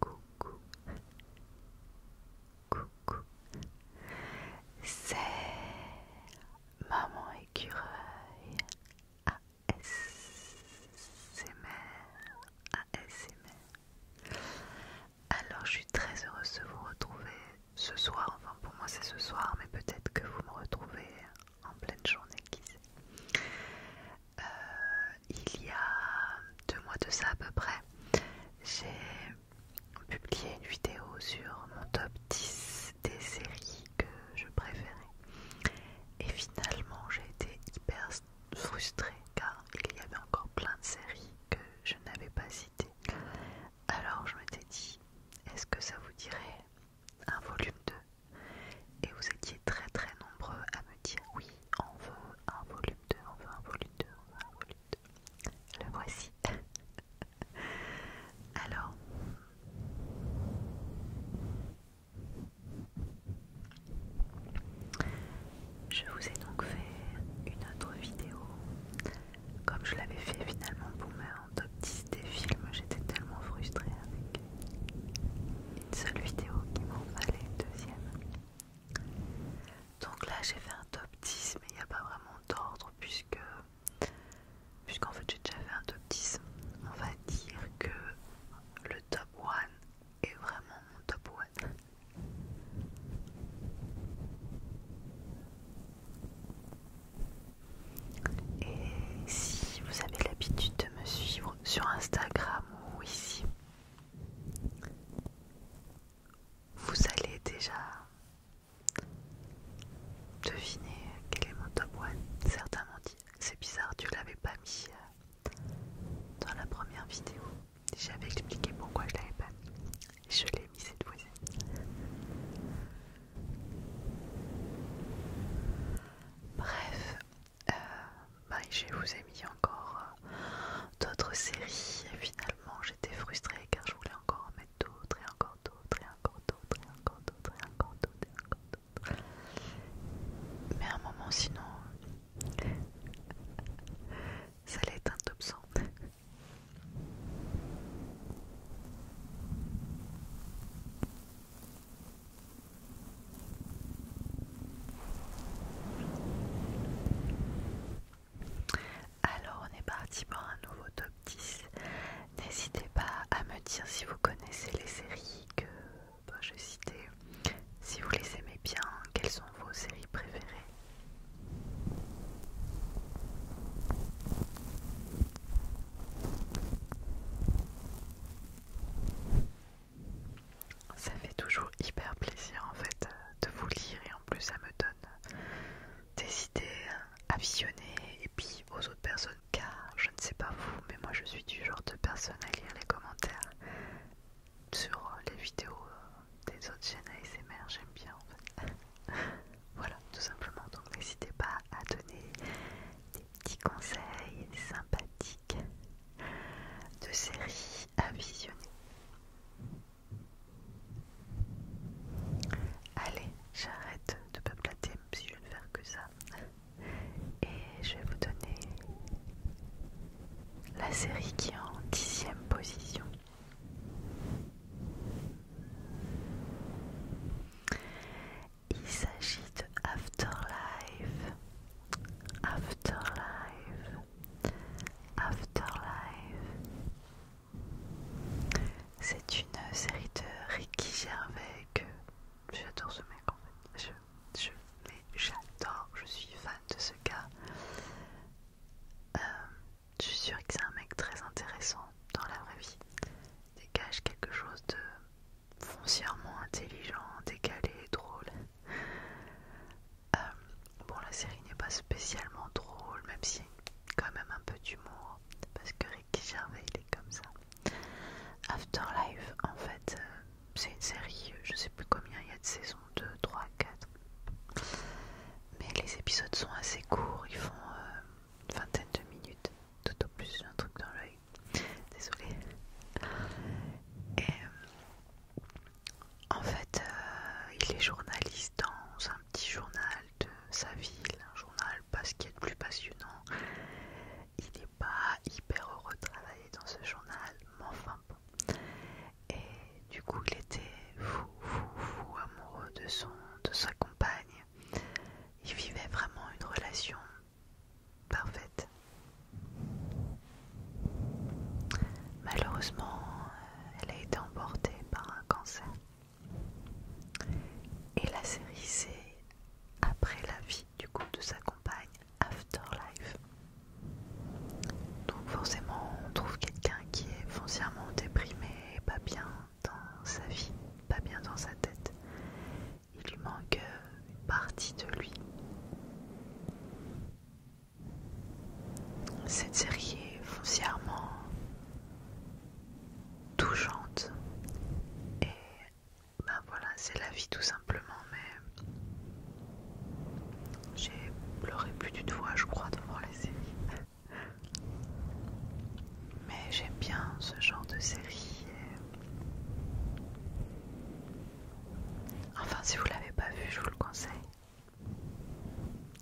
coucou, coucou, c'est Maman Écureuil ASMR, ASMR. Alors je suis très heureuse de vous retrouver ce soir, enfin pour moi c'est ce soir, mais peut-être que vous me retrouvez en pleine journée, qui sait. Euh, il y a deux mois de ça à peu près, j'ai publié une vidéo sur mon top 10 des séries que je préférais. Et finalement, j'ai été hyper frustrée car il y avait encore plein de séries que je n'avais pas citées. Alors je m'étais dit, est-ce que ça vous dirait un volume 2 et vous étiez très très nombreux à me dire oui, on veut un volume 2, on veut un volume 2, on veut un volume 2. Le voici. Alors... Je vous ai donc fait une autre vidéo, comme je l'avais fait finalement pour ma top 10 des films, j'étais tellement frustrée avec une seule vidéo qui m'en fallait une deuxième. Donc là j'ai fait un top 10 mais il n'y a pas vraiment d'ordre puisque puisqu'en fait j'ai déjà fait un top 10. On va dire que le top 1 est vraiment mon top 1. Et si vous avez l'habitude de me suivre sur Instagram ici, vous allez déjà deviner quel est mon top 1. Certains m'ont dit c'est bizarre, tu l'avais pas mis euh, dans la première vidéo. J'avais expliqué pourquoi je l'avais pas mis. Je l'ai mis cette fois-ci. Bref, euh, bah, je vous ai mis encore euh, d'autres séries et finalement j'étais frustrée car je voulais encore en mettre d'autres et encore d'autres et encore d'autres et encore d'autres et encore d'autres et encore d'autres. Mais à un moment sinon euh, ça allait être un top 100. Alors on est parti pour un nouveau top 10. N'hésitez pas à me dire si vous connaissez les séries que bah, je citais, si vous les aimez bien, quelles sont vos séries préférées. Ça fait toujours hyper plaisir en fait de vous lire et en plus ça me donne des idées à visionner et puis aux autres personnes car je ne sais pas vous mais moi je suis du genre de personne à lire les commentaires sur les vidéos des autres chaînes ASMR, j'aime bien en fait. voilà tout simplement donc n'hésitez pas à donner petits conseils sympathiques de séries à visionner. Allez, j'arrête de peupleter même si je ne fais que ça. Et je vais vous donner la série qui est en dixième position. Il s'agit de Afterlife. Afterlife, Afterlife. C'est une série de Ricky Gervais que j'adore ce mec en fait. Je, je j'adore, je suis fan de ce gars. Euh, je suis sûre que c'est un mec très intéressant dans la vraie vie. Dégage quelque chose de foncièrement intelligent, décalé, drôle. Euh, bon, la série n'est pas spécialement drôle, même si quand même un peu d'humour, parce que Ricky Gervais il est comme ça. Afterlife, en fait, euh, c'est une série, je sais plus combien il y a de saisons 2, 3, 4. Mais les épisodes sont assez courts, ils font euh, une vingtaine de minutes, tout au plus, un truc dans l'œil. Désolé en fait, euh, il est journaliste dans un petit journal de sa ville, un journal parce qu'il est plus passionnant. Il n'est pas hyper heureux de travailler dans ce journal, mais enfin bon. Et du coup, il était fou, fou, fou amoureux de, son, de sa compagne. Il vivait vraiment une relation parfaite. Malheureusement, elle a été emportée par un cancer. Et la série, c'est après la vie du coup de sa compagne, Afterlife. Donc forcément, on trouve quelqu'un qui est foncièrement déprimé, pas bien dans sa vie, pas bien dans sa tête. Il lui manque euh, partie de lui. Cette série est foncièrement touchante et ben voilà, c'est la vie tout simplement, mais j'ai pleuré plus du fois, je crois, devant les séries. Mais j'aime bien ce genre de série. Enfin, si vous l'avez pas vu, je vous le conseille.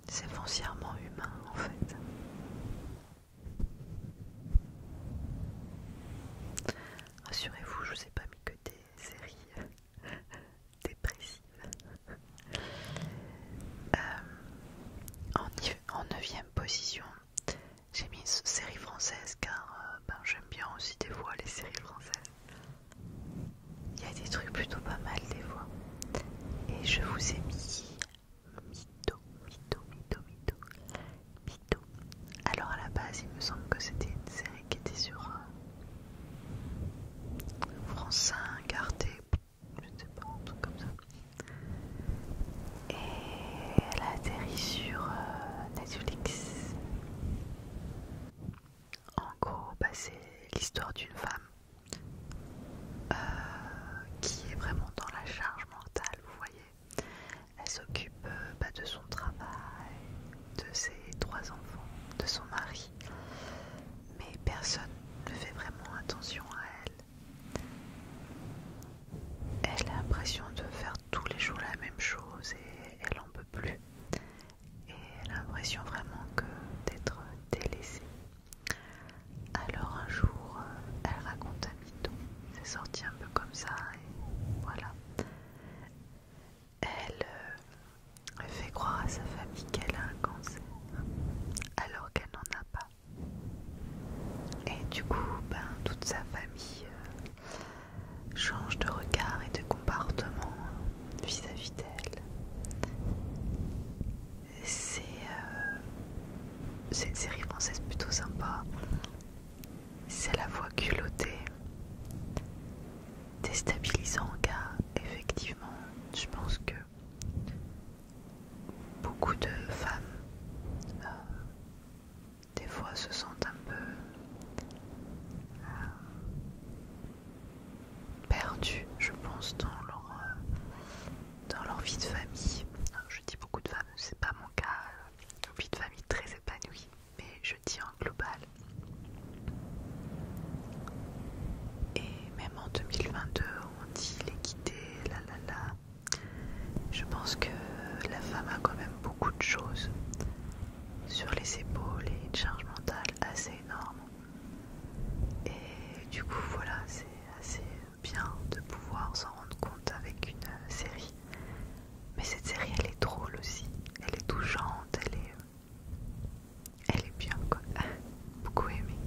C'est foncièrement humain en fait. Rassurez-vous, je vous ai pas mis que des séries dépressives. Euh, en neuvième position, j'ai mis une série française car euh, ben, j'aime bien aussi des fois les séries françaises. Il y a des trucs plutôt pas mal des fois. Et je vous ai mis Mito, Mito, Mito, Mito, Mito. Alors à la base, il me semble que c'était une série qui était sur euh, France 5, Arte, je sais pas, un truc comme ça. Et elle a atterri sur euh, Netflix. En gros, bah, c'est l'histoire d'une femme euh, qui est vraiment dans la charge mentale, vous voyez. Elle s'occupe euh, bah, de son travail, de ses trois enfants, de son mari, mais personne ne fait vraiment attention à elle. Elle a l'impression de faire tous les jours la même chose et elle n'en peut plus et elle a l'impression vraiment que d'être délaissée. Alors un jour, euh, elle raconte à mytho, c'est sorti un peu comme ça et voilà. Euh, elle fait croire à sa famille qu'elle a un cancer alors qu'elle n'en a pas. Et du coup, ben, toute sa famille euh, change de regard et de comportement vis-à-vis d'elle. C'est une euh, série française plutôt sympa. C'est la voix culottée, déstabilisant car effectivement, je pense que beaucoup de femmes euh, des fois se sentent un peu euh, Perdues, je pense, dans leur, euh, dans vie de famille. Je dis beaucoup de femmes, c'est pas mon cas, une euh, vie de famille très épanouie, mais je dis en global. Et même en 2022, on dit l'équité, la la la. Je pense que la femme a quand même beaucoup de choses sur les épaules et une charge mentale assez énorme. Et du coup, voilà, c'est assez bien de pouvoir s'en rendre compte avec une euh, série. Mais cette série, elle est drôle aussi. Elle est touchante, elle est... Elle est bien, quoi. Beaucoup aimée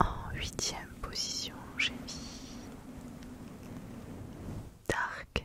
En huitième position, j'ai mis Dark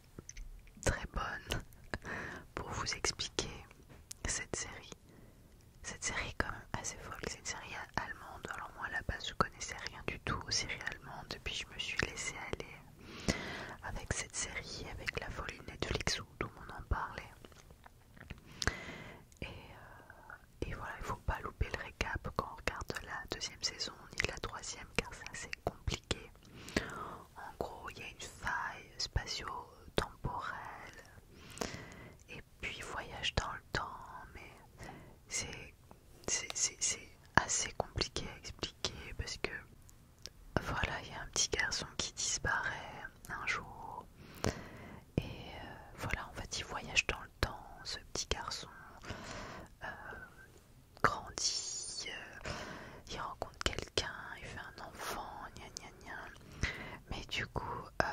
très bonne pour vous expliquer cette série. Cette série quand même assez folle, c'est une série allemande. Alors moi à la base je connaissais rien du tout aux séries allemandes, puis je me suis laissé aller avec cette série, avec la folie Netflix où tout le monde en parlait. Et, euh, et voilà, il faut pas louper le récap quand on regarde la deuxième saison ni la troisième car c'est assez compliqué en gros, il y a une faille spatio-temporelle et puis voyage dans le temps, mais c'est assez compliqué à expliquer parce que voilà, il y a un petit garçon qui disparaît un jour et euh, voilà, en fait, il voyage dans le temps, ce petit garçon. Euh, grandit, euh, il rencontre quelqu'un, il fait un enfant, gna Mais du coup, euh,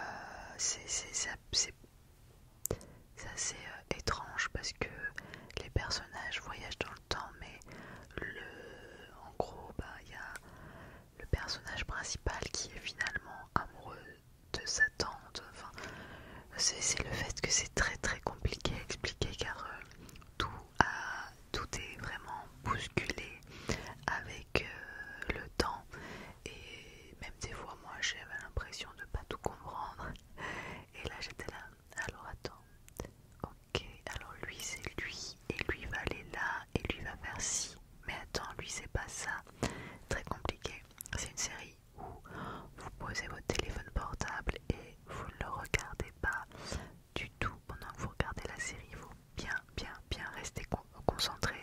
c'est assez euh, étrange parce que les personnages voyagent dans le temps, mais le, en gros, bah, il y a le personnage principal qui est finalement amoureux de sa tante. Enfin, c'est le fait que c'est très très compliqué à expliquer car tout tout est vraiment bousculé avec euh, le temps et même des fois moi j'avais l'impression de pas tout comprendre et là j'étais là alors attends ok alors lui c'est lui et lui va aller là et lui va faire ci mais attends lui c'est pas ça très compliqué c'est une série où vous posez votre téléphone portable et vous ne le regardez pas du tout pendant que vous regardez la série. vous faut bien, bien, bien rester concentré,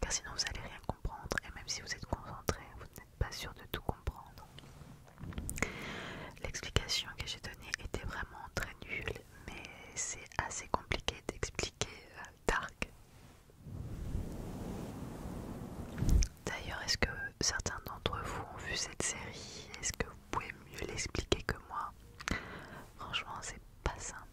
car sinon vous allez rien comprendre. Et même si vous êtes concentré, vous n'êtes pas sûr de tout comprendre. L'explication que j'ai donnée était vraiment très nulle, mais c'est assez compliqué d'expliquer euh, Dark. D'ailleurs, est-ce que certains d'entre vous ont vu cette série Est-ce que vous pouvez mieux l'expliquer que moi. Franchement, c'est pas simple.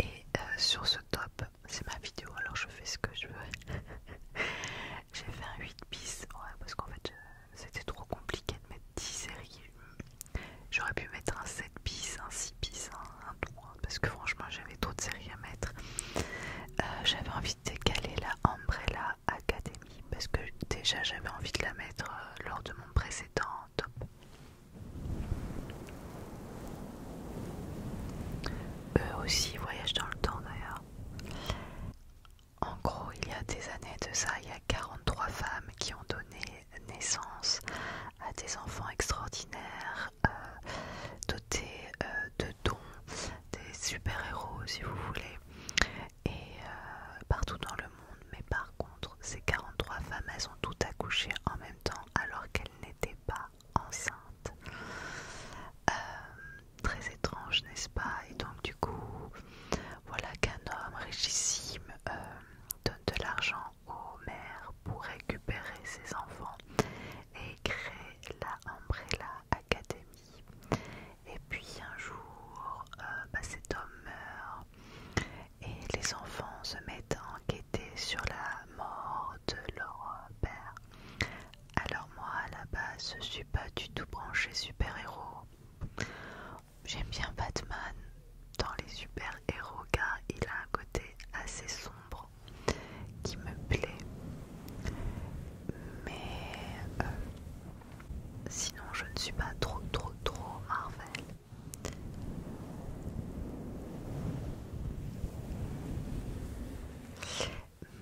Et euh, sur ce top, c'est ma vidéo alors je fais ce que je veux. J'ai fait un 8 bis, parce qu'en fait euh, c'était trop compliqué de mettre 10 séries. J'aurais pu mettre un 7 bis, un 6 bis, un, 3 parce que franchement j'avais trop de séries à mettre. Euh, j'avais envie de décaler la Umbrella Academy, parce que déjà j'avais envie de la mettre lors de mon précédent eux aussi voyagent dans le temps d'ailleurs. En gros, il y a des années de ça, il y a 43 femmes qui ont donné naissance à des enfants extraordinaires, euh, dotés euh, de dons, des super-héros si vous voulez, et euh, partout dans le monde. Mais par contre, ces 43 femmes, elles ont toutes accouché en même temps alors qu'elles n'était pas enceinte. Euh, très étrange, n'est-ce pas Et donc du coup, voilà qu'un homme richissime euh, donne de l'argent aux mères pour récupérer ses enfants et crée la Umbrella Academy. Et puis un jour, euh, bah, cet homme meurt et les enfants se mettent à enquêter sur la mort de leur père. Alors moi à la base je suis pas du tout branchée super-héros. J'aime bien Batman dans les super-héros car il a un côté assez sombre qui me plaît. Mais euh, sinon je ne suis pas trop trop trop Marvel.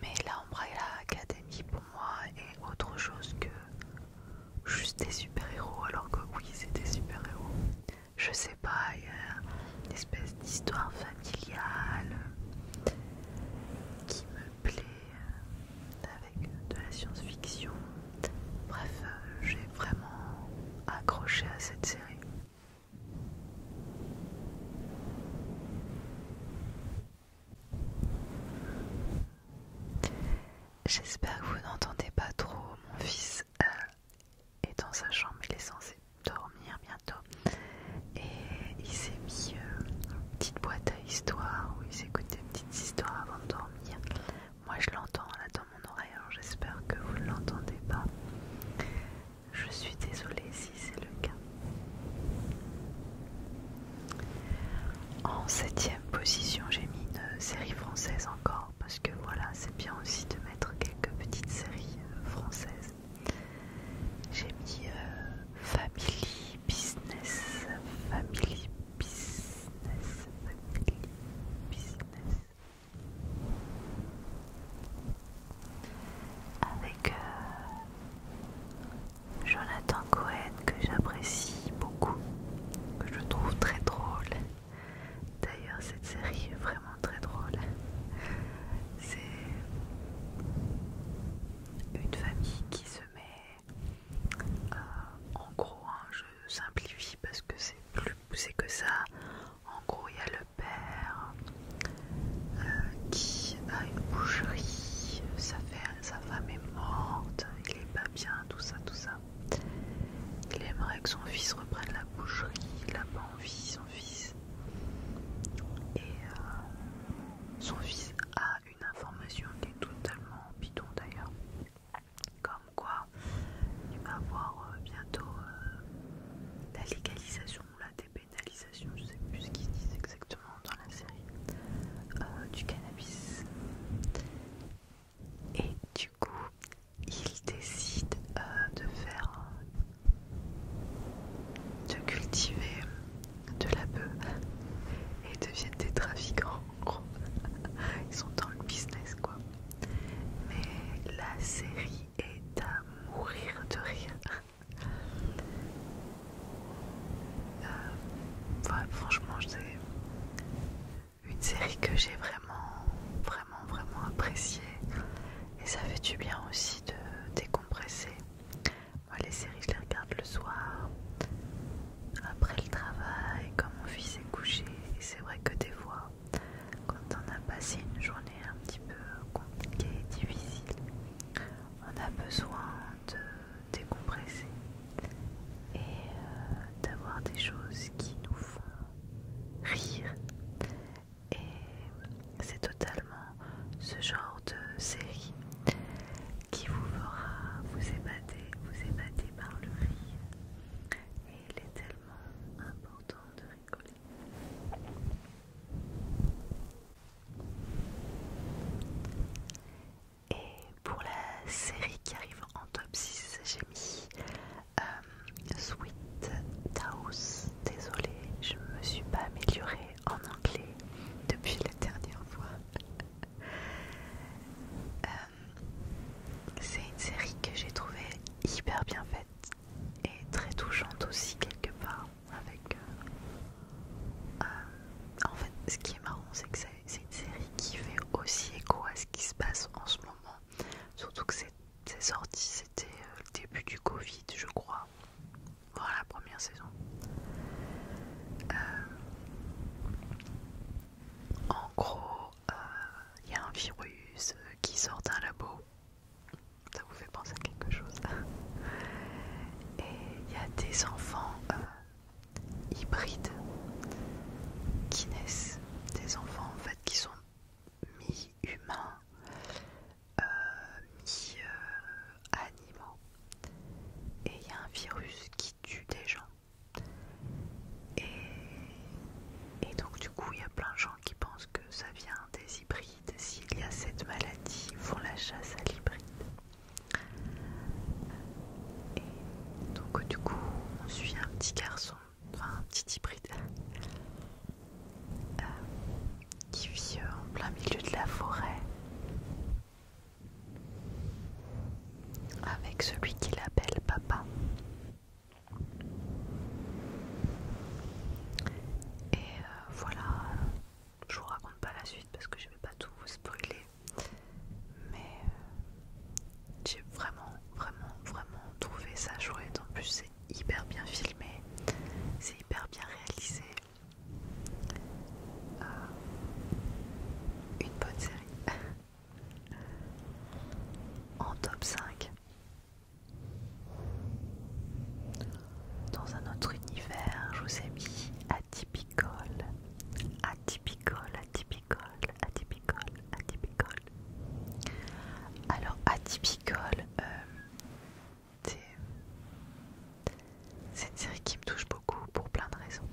Mais la Umbrella Academy pour moi est autre chose que juste des super-héros, alors que oui, c'est des super-héros. Je sais pas, il une espèce d'histoire familiale qui me plaît avec de la science-fiction. Bref, euh, j'ai vraiment accroché à cette série. J'espère que vous n'entendez pas trop. Mon fils euh, est dans sa chambre, il est censé dormir bientôt. Et il s'est mis euh, une petite boîte à histoire où il s'écoute des petites histoires avant de dormir. Moi je l'entends là mon oreille, alors j'espère que vous ne l'entendez pas. Je suis désolée si c'est le cas. En septième position, j'ai mis une série française encore parce que voilà, c'est bien aussi de mettre quelques petites séries euh, françaises. J'ai mis euh, Family Business, Family Business, Family Business avec euh, Jonathan Cohen que j'apprécie beaucoup, que je trouve très drôle. D'ailleurs cette série est vraiment très drôle. C'est une famille qui se met euh, en gros, je simplifie parce que c'est plus poussé que ça, en gros, il y a le père euh, qui a une boucherie, sa, femme est morte, il est pas bien, tout ça, tout ça. Il aimerait que son fils reprenne la boucherie, il n'a pas envie, son fils. Et euh, son fils a une information qui est totalement bidon d'ailleurs. Comme quoi il va avoir euh, bientôt euh, la légalisation ou la dépénalisation, je sais plus ce qu'ils disent exactement dans la série, euh, du cannabis. Et du coup, il décide de faire, de cultiver de la bœuf et deviennent des trafiquants. Ils sont dans le business quoi. Mais la série et à mourir de rire. Euh, franchement, c'est une série que j'ai vraiment, vraiment, vraiment appréciée. Et ça fait du bien aussi de décompresser. les séries, je les regarde le soir, après le travail, quand mon fils est couché. Et c'est vrai que des fois, quand on a passé une journée un petit peu compliquée et difficile, on a besoin de décompresser et euh, d'avoir des choses qui nous font rire. Et c'est totalement ce genre de série qui vous fera vous ébater, vous ébater par le rire. Et il est tellement important de rire. Et pour la série qui arrive en top 6, j'ai mis euh, Sweet House. Désolée, je ne me suis pas améliorée en anglais depuis la dernière fois. Euh, c'est une série que j'ai trouvé hyper bien faite et très touchante aussi quelque part avec euh, euh, en fait ce qui est marrant c'est que c'est une série qui fait aussi écho à ce qui se passe en ce moment surtout que c'est sorti c'était euh, le début du Covid je crois voilà la première saison en gros il y a un virus qui sort d'un labo ça vous fait penser à quelque chose. Et il y a des enfants euh, hybrides qui naissent, des enfants en fait qui sont mi-humains, euh, mi-animaux. Euh, et il y a un virus qui tue des gens. et donc du coup il y a plein de gens qui pensent que ça vient des hybrides. S'il y a cette maladie, ils font la chasse à l'hybride. Et donc du coup, on suit un petit garçon, enfin un petit hybride, euh, qui vit euh, en plein milieu de la forêt avec celui qu'il appelle papa. Et euh, voilà, je vous raconte pas la suite parce que je vais pas tout vous spoiler, mais euh, j'ai vraiment, vraiment, vraiment trouvé ça chouette. En plus, c'est hyper bien filmé, c'est hyper bien réalisé. Euh, une bonne série en top 5 dans un autre univers, je vous ai mis atypical, atypical, atypical, atypical, atypical. Alors atypical, euh, c'est une série qui me touche beaucoup pour plein de raisons.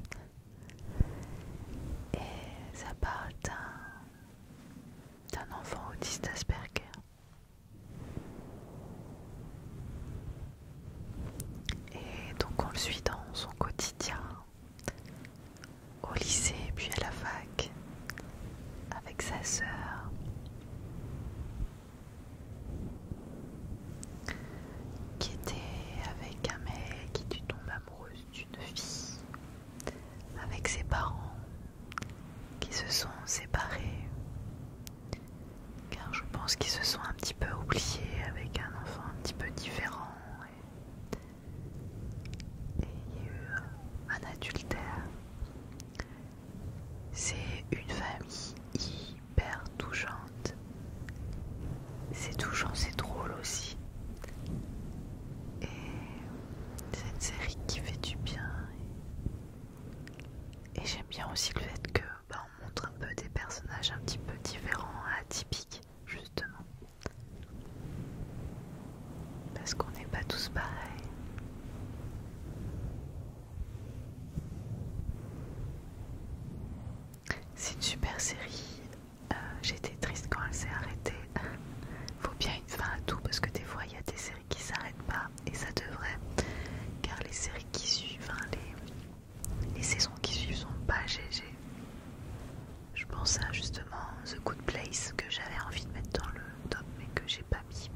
Et ça parle d'un enfant autiste Asperger et donc on le suit dans son quotidien, au lycée puis à la fac, avec sa sœur. Qui était avec un mec qui tombe amoureuse d'une fille, avec ses parents, qui se sont séparés car je pense qu'ils se sont un petit peu oubliés avec un enfant un petit peu différent et, il y a eu un adultère. C'est une famille hyper touchante. C'est touchant, c'est drôle aussi. Et c'est une série qui fait du bien. Et j'aime bien aussi le fait que bah, on montre un peu des personnages un petit peu différents, atypiques, justement. Parce qu'on n'est pas tous pareils. C'est une super série. Euh, j'étais triste quand elle s'est arrêtée. Faut bien une fin à tout parce que des fois il y a des qui s'arrête pas et ça devrait car les séries qui suivent, les, saisons qui suivent sont pas GG. Je pense à justement The Good Place que j'avais envie de mettre dans le top mais que j'ai pas mis.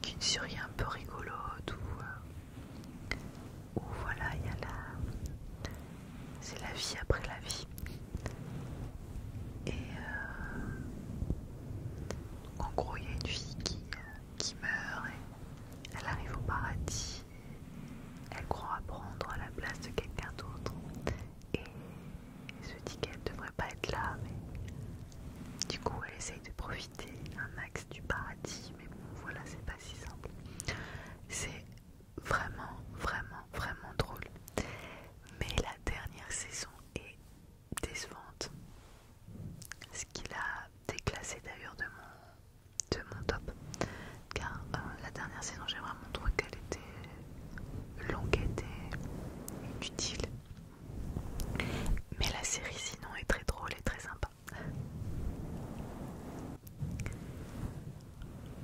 qui Qu'une série un peu rigolote euh, où, voilà il y a la. C'est la vie après la vie. Et, euh, en gros, il y a une fille euh, qui, meurt et elle arrive au paradis. Elle croit prendre la place de quelqu'un d'autre et, se dit qu'elle ne devrait pas être là, mais du coup, elle essaye de profiter un max du paradis. Mais bon, voilà, c'est pas si simple. C'est vraiment, vraiment, vraiment drôle. Mais la dernière saison est décevante. Ce qui l'a déclassé d'ailleurs de mon, de mon top. Car euh, la dernière saison, j'ai vraiment trouvé qu'elle était longue, et inutile. Mais la série sinon est très drôle et très sympa.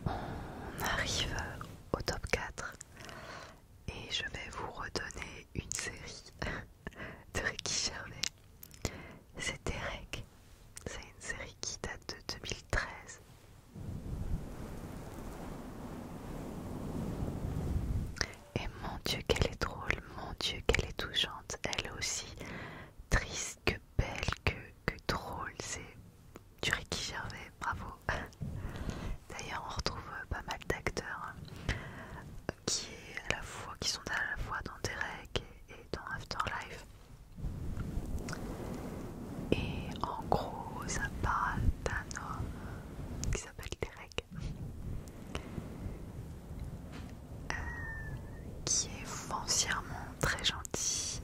On arrive au top 4 et je vais vous redonner une série de Ricky Gervais. C'est Eric, c'est une série qui date de 2013. Et mon Dieu, qu'elle est drôle, mon Dieu, qu'elle est touchante, elle est aussi triste que belle que, que drôle, c'est du Ricky Gervais, bravo. D'ailleurs, on retrouve euh, pas mal d'acteurs euh, qui, à la fois, qui sont à la fois dans Derek et dans Afterlife. Et en gros, ça parle d'un homme qui s'appelle Derek, euh, qui est foncièrement très gentil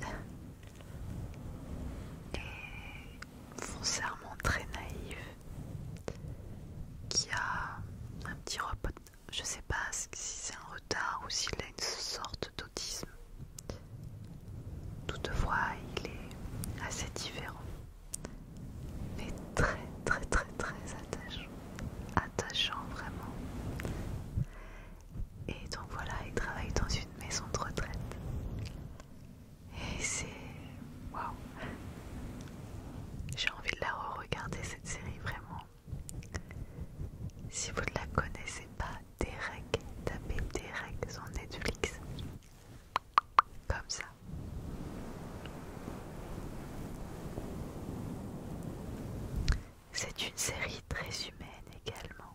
et foncièrement très naïf qui a un petit repos. Je sais pas si c'est un retard ou s'il a une sorte d'autisme. Toutefois, il est assez différent, mais très très très très attachant, attachant vraiment. Et donc voilà, il travaille dans une maison de retraite. Et c'est. Waouh! J'ai envie de la re-regarder cette série vraiment. Si vous ne la connaissez pas, Derek, tapez Derek sur Netflix. Comme ça. C'est une série très humaine également.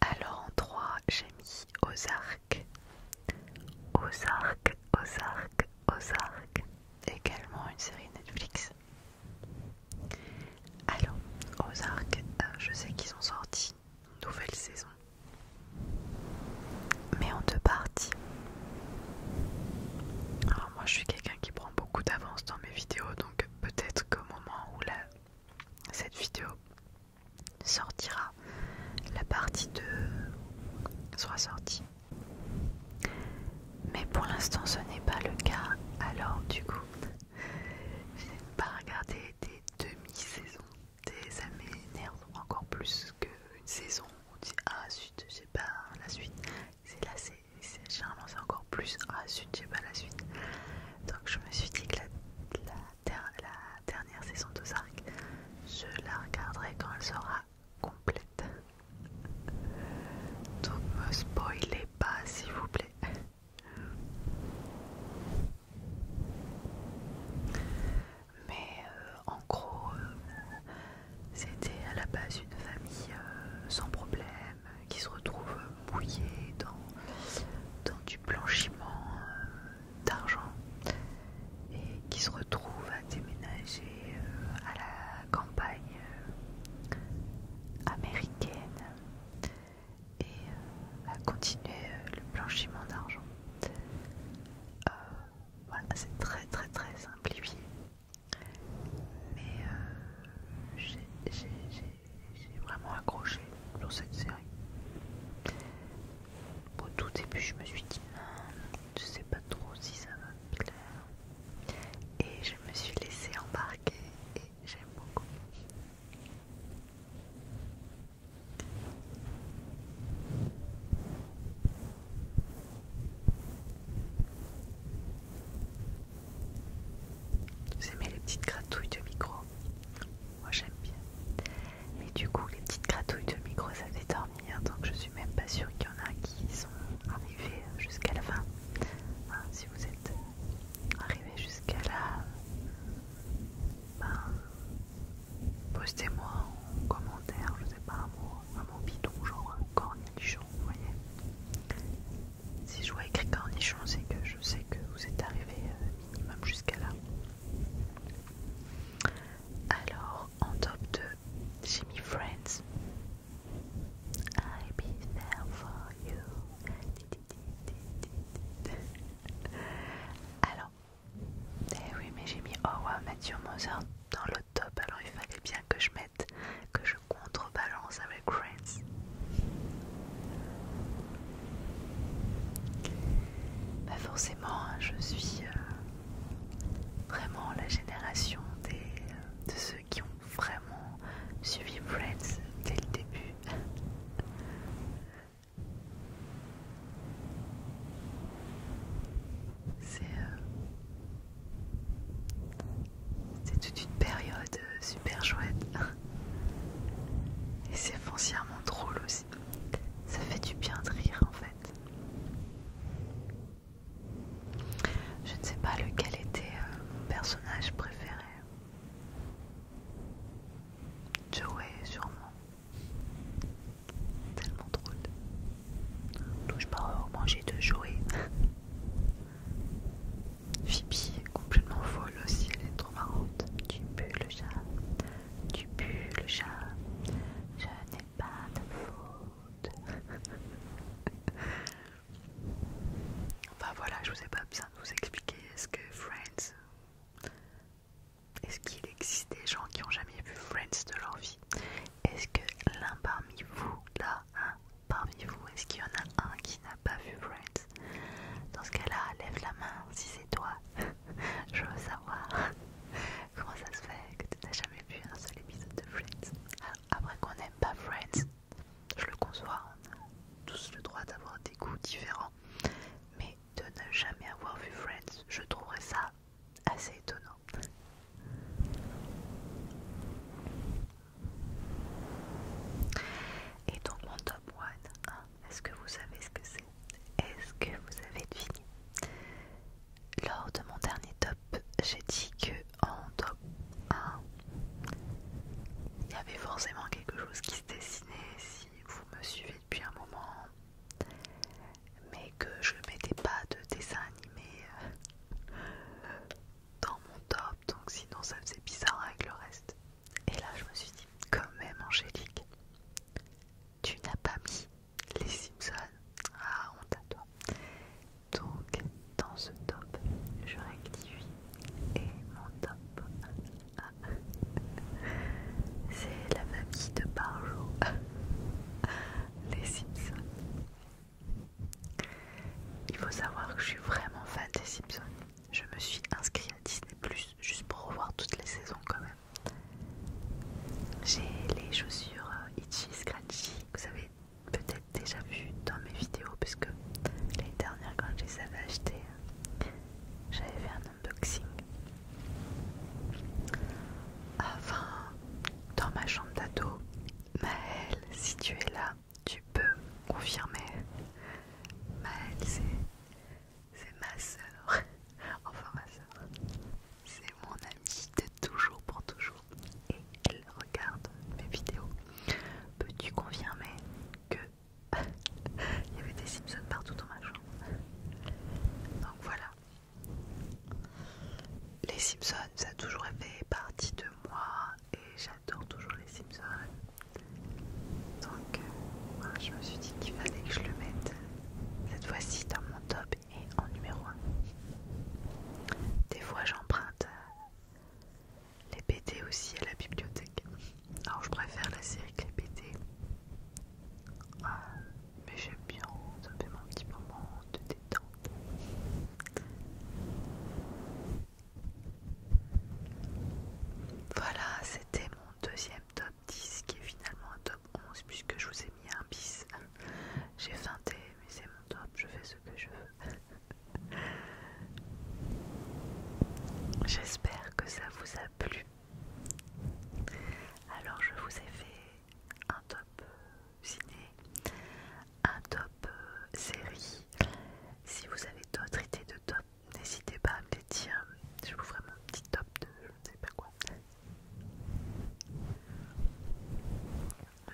Alors en 3, j'ai mis Ozark. Ozark, Ozark, Ozark. Également une série Netflix. Alors, Ozark, euh, je sais qu'ils ont sorti une nouvelle saison. Mais en deux parties. Alors moi je suis quelqu'un qui prend beaucoup d'avance dans mes vidéos, donc peut-être qu'au moment où cette vidéo sortira, la partie 2 sera sortie. Mais pour l'instant, ce n'est pas le cas. Alors, du coup, je n'aime pas regarder des demi-saisons. Des, ça encore plus qu'une saison. On dit Ah, suite, sais pas la suite c'est là, c'est généralement c'est encore plus. Ah suite j'ai pas la suite. Donc je me suis dit que la, dernière saison de Zark, je la regarderai quand elle sera complète. Donc me spoilez pas s'il vous plaît. Mais euh, en gros, euh, c'était à la base une famille euh, sans problème, euh, qui se retrouve euh, mouillés dans, du blanchiment euh, d'argent et qui se retrouve à déménager à la campagne américaine et à continuer le blanchiment d'argent. voilà, c'est très très très simplifié. Mais euh, j'ai vraiment accroché dans cette série. Au tout début, je me suis dit, ah, je sais pas trop si ça va me plaire. Et je me suis laissé embarquer et j'aime beaucoup. Vous aimez les petites gratouilles de micro Moi j'aime bien. Mais du coup, les petites gratouilles de micro ça fait dormir, donc je suis même pas sûre qu'il y en a qui sont arrivés jusqu'à la fin. si vous êtes arrivés jusqu'à là, ben, postez-moi en commentaire, je sais pas, un mot, un mot bidon, genre un euh, cornichon, vous voyez. Si je vois écrit cornichon, c'est que je sais que vous êtes arrivé euh, minimum jusqu'à là. Alors, en top 2, j'ai mis Friends. I'll be there for you. Alors, eh oui, mais j'ai mis wow Mathieu Mozart dans le top, alors il fallait bien que je mette que je contrebalance avec Friends. Bah forcément, hein, je suis euh, vraiment la génération des, de ceux qui ont vraiment suivi Friends dès le début. C'est euh, c'est toute une période euh, super chouette. Et c'est foncièrement drôle aussi. Ça fait du bien de rire en fait. Je ne sais pas lequel était euh, mon personnage préféré. Joey sûrement. Tellement drôle. Touche pas au manger de Joey. Phoebe est complètement folle aussi, elle est trop marrante. Tu pues le chat, tu pues le chat, je n'ai pas de faute. enfin voilà, je vous ai pas besoin de vous expliquer est ce que Friends. Est-ce qu'il existe des gens qui ont jamais vu Friends de leur vie Est-ce que l'un parmi vous là parmi vous Est-ce qu'il y en a un qui n'a pas vu Friends Dans ce cas-là, lève la main si c'est toi. Je veux savoir comment ça se fait que tu n'as jamais vu un seul épisode de Friends. Ah, après qu'on n'aime pas Friends, je le conçois, on a tous le droit d'avoir des goûts différents. Mais de ne jamais avoir vu Friends, je trouverais ça assez étonnant. Et donc mon top 1, hein, est-ce que vous savez ce que c'est Est-ce que vous avez deviné Lors de mon dernier top, j'ai dit que en top 1, il y avait forcément quelque chose qui se dessinait si vous me suivez depuis un moment, mais que je ne mettais pas de dessin animé. Euh, dans mon top, donc sinon ça faisait bizarre avec le reste. Et là, je me suis dit, quand même, Angélique, tu n'as pas mis les Simpsons. Ah, honte à toi. Donc, dans ce top, je rectifie et mon top, c'est la famille de Barrow les Simpsons. Il faut savoir que je suis vraiment fan des Simpsons je me suis inscrite à Disney juste pour revoir toutes les saisons quand même. J'ai les chaussures euh, Itchy Scratchy que vous avez peut-être déjà vu dans mes vidéos parce que l'année dernière quand je les avais achetées, j'avais fait un unboxing. Enfin, dans ma chambre d'ado, Maëlle, si tu es là, tu peux confirmer. Maëlle, c'est ma soeur. Enfin, ma soeur. C'est mon amie de toujours pour toujours. Et elle regarde mes vidéos. Peux-tu confirmer que il y avait des Simpsons partout dans ma chambre Donc voilà. Les Simpsons, ça a toujours fait partie de moi et j'adore toujours les Simpsons. Donc euh, je me suis dit qu'il fallait que je le mette cette fois-ci dans mon top et en numéro 1. Des fois j'emprunte euh, les BD aussi à la bibliothèque. Alors je préfère la série que les BD. Euh, mais j'aime bien, ça fait mon petit moment de détente. Voilà, c'était mon deuxième top 10 qui est finalement un top 11 puisque je vous ai mis un bis. J'ai feinté, mais c'est mon top, je fais ce que je veux. J'espère que ça vous a plu. Alors je vous ai fait un top euh, ciné, un top euh, série. Si vous avez d'autres idées de top N'hésitez pas à me les dire, je vous ferai mon petit top de je ne sais pas quoi.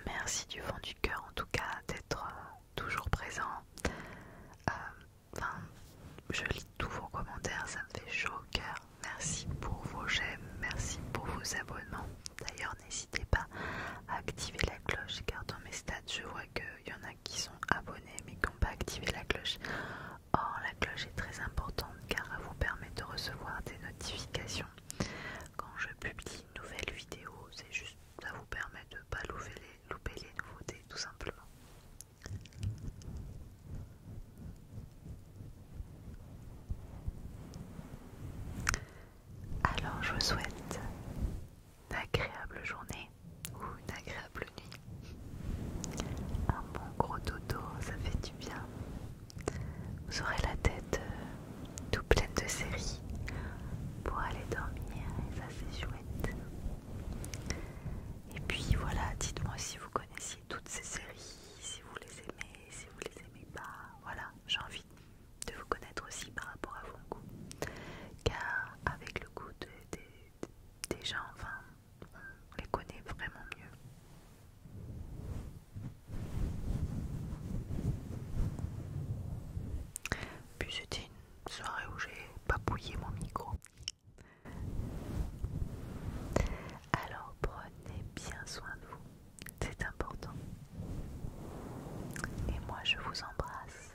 Merci du fond du cœur en tout cas d'être euh, toujours présent. Euh, je lis tous vos commentaires, ça me fait chaud au cœur. Merci pour vos j'aime, merci pour vos abonnements. D'ailleurs, n'hésitez pas à activer la cloche car dans mes stats, je vois qu'il y en a qui sont abonnés mais qui n'ont pas activé la cloche. Or, la cloche est très importante car elle vous permet de recevoir des notifications. Quand je publie une nouvelle vidéo, c'est juste ça vous permet de ne pas louper les nouveautés tout simplement. Alors, je vous souhaite agréable journée ou une agréable nuit. Un bon gros dodo, ça fait du bien. Vous aurez la tête euh, toute tout pleine de séries pour aller dormir et ça c'est chouette. Et puis voilà, dites-moi si vous connaissiez toutes ces séries, si vous les aimez, si vous les aimez pas. Voilà, j'ai envie de vous connaître aussi par rapport à vos goûts. Car avec le goût de des, gens, enfin, on les connaît vraiment mieux. Puis c'était une soirée où j'ai papouillé mon micro. Alors prenez bien soin de vous, c'est important. Et moi je vous embrasse.